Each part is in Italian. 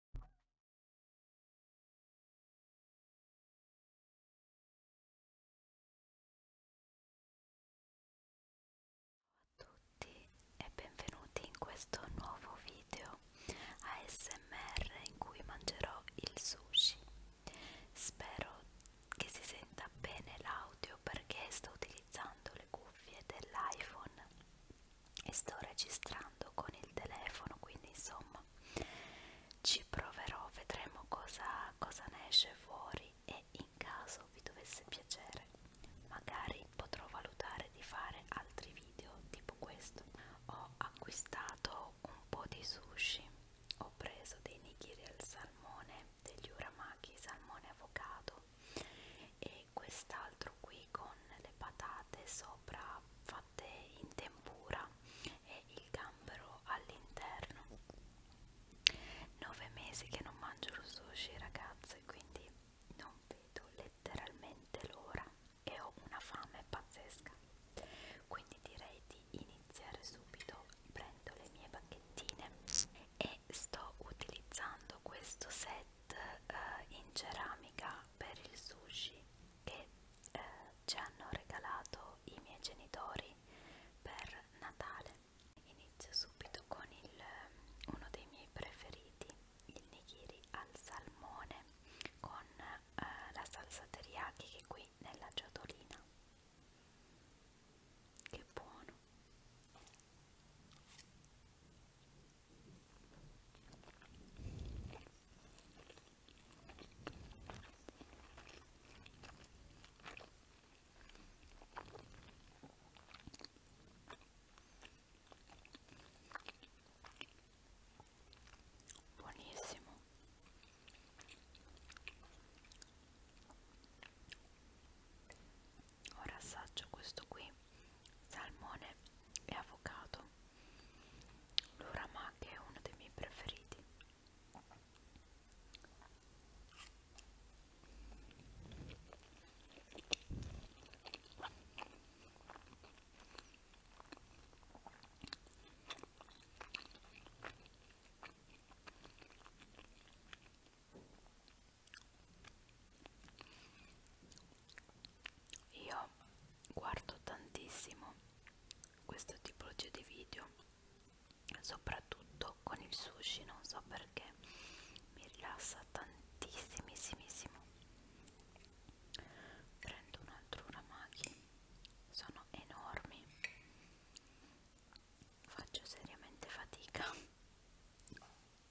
Ciao a tutti e benvenuti in questo nuovo video ASMR in cui mangerò il sushi. Spero che si senta bene l'audio perché sto utilizzando le cuffie dell'iPhone e sto registrando con il telefono quindi insomma ci proverò vedremo cosa, cosa ne esce fuori e in caso vi dovesse piacere magari potrò valutare di fare altri video tipo questo ho acquistato un po' di sushi ho preso dei nigiri al salmone degli uramaki salmone avocado e e quest'altro qui con le patate sopra fatte in tempura e il gambero all'interno. Nove mesi che non mangio lo sushi ragazze, quindi non vedo letteralmente l'ora e ho una fame pazzesca. Quindi direi di iniziare subito, prendo le mie bacchettine e sto utilizzando questo set set eh, in ceramica per il sushi che eh, ci hanno regalato i miei genitori per Natale. Inizio subito con il, eh, uno dei miei preferiti, il nigiri al salmone con eh, la salsa teriyaki che è qui nella ciotolina. Che buono! Buonissimo ora assaggio questo qui salmone e avocado l'urama che è uno dei miei preferiti io guardo tantissimo questo tipologia di video, soprattutto con il sushi, non so perché mi rilassa tantissimissimo. Prendo un altro uramaki, sono enormi, faccio seriamente fatica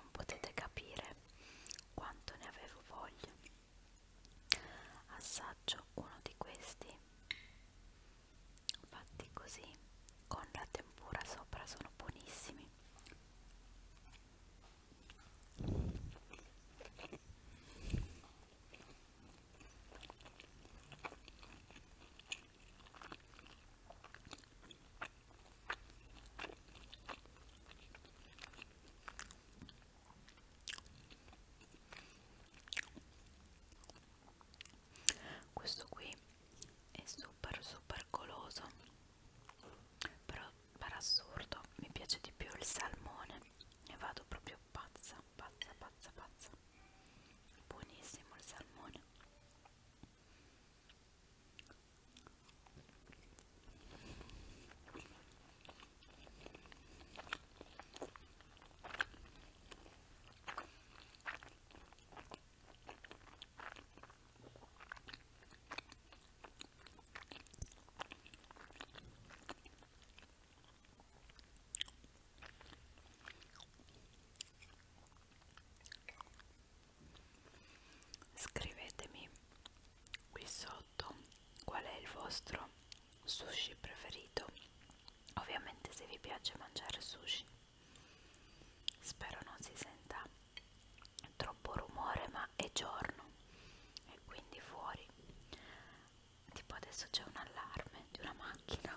Non potete capire quanto ne avevo voglia. Assaggio uno di questi fatti così con la tempura sopra sono buonissimi questo qui è super super goloso però per assurdo mi piace di più il salmone e vado proprio pazza pazza pazza pazza buonissimo il salmone Scrivetemi qui sotto qual è il vostro sushi preferito ovviamente se vi piace mangiare sushi spero non si senta troppo rumore ma è giorno e quindi fuori tipo adesso c'è un allarme di una macchina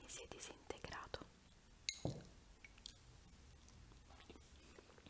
mi si è disintegrato.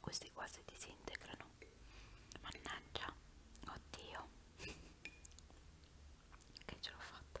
questi qua si disintegrano mannaggia oddio che ce l'ho fatta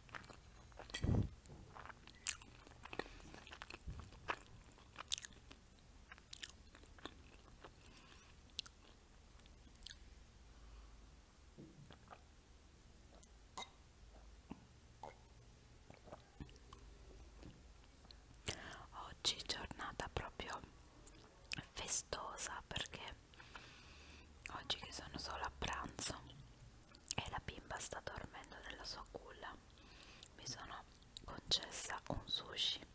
Oggi giornata proprio festosa perché Oggi che sono solo a pranzo e la bimba sta dormendo nella sua culla, mi sono concessa un sushi.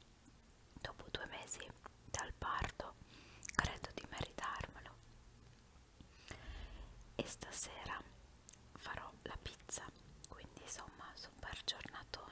Dopo due mesi dal parto credo di meritarmelo. E stasera farò la pizza, quindi insomma super giornatona.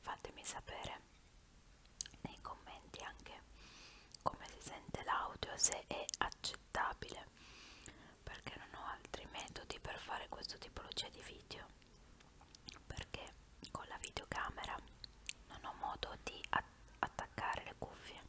fatemi sapere nei commenti anche come si sente l'audio se è accettabile perché non ho altri metodi per fare questo tipologia di video perché con la videocamera non ho modo di att attaccare le cuffie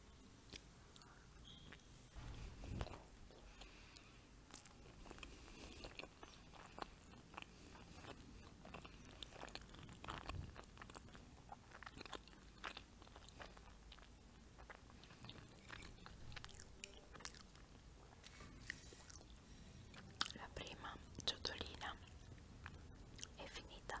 la prima ciotolina è finita.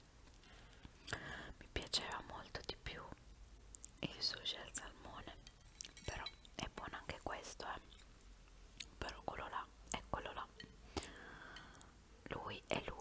mi piaceva molto di più il sushi al salmone però è buono anche questo eh. però quello là è quello là lui è lui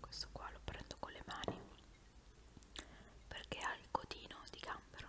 questo qua lo prendo con le mani perché ha il codino di gambero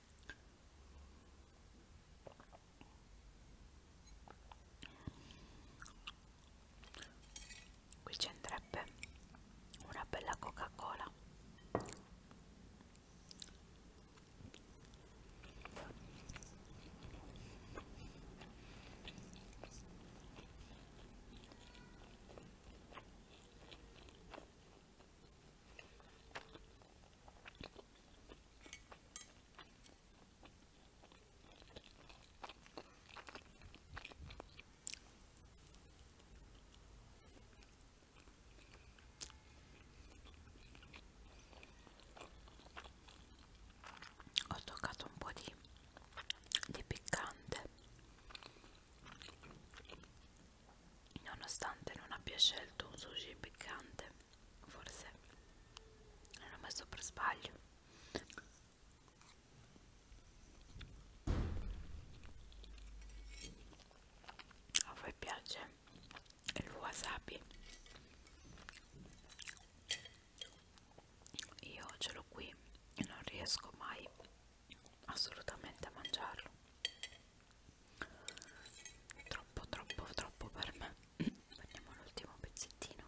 Qui ci andrebbe una bella Coca-Cola. Ho toccato un po' di, di piccante nonostante non abbia scelto un sushi piccante forse l'ho messo per sbaglio a voi piace il wasabi io ce l'ho qui e non riesco mai assolutamente a mangiarlo troppo troppo troppo per me prendiamo l'ultimo pezzettino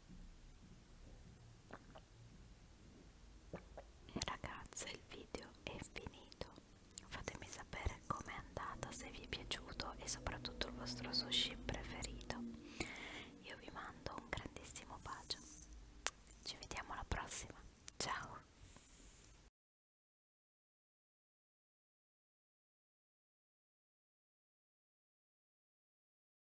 Ragazze il video è finito, fatemi sapere com'è andata, se vi è piaciuto e soprattutto il vostro sushi preferito. Io vi mando un grandissimo bacio, ci vediamo alla prossima, ciao!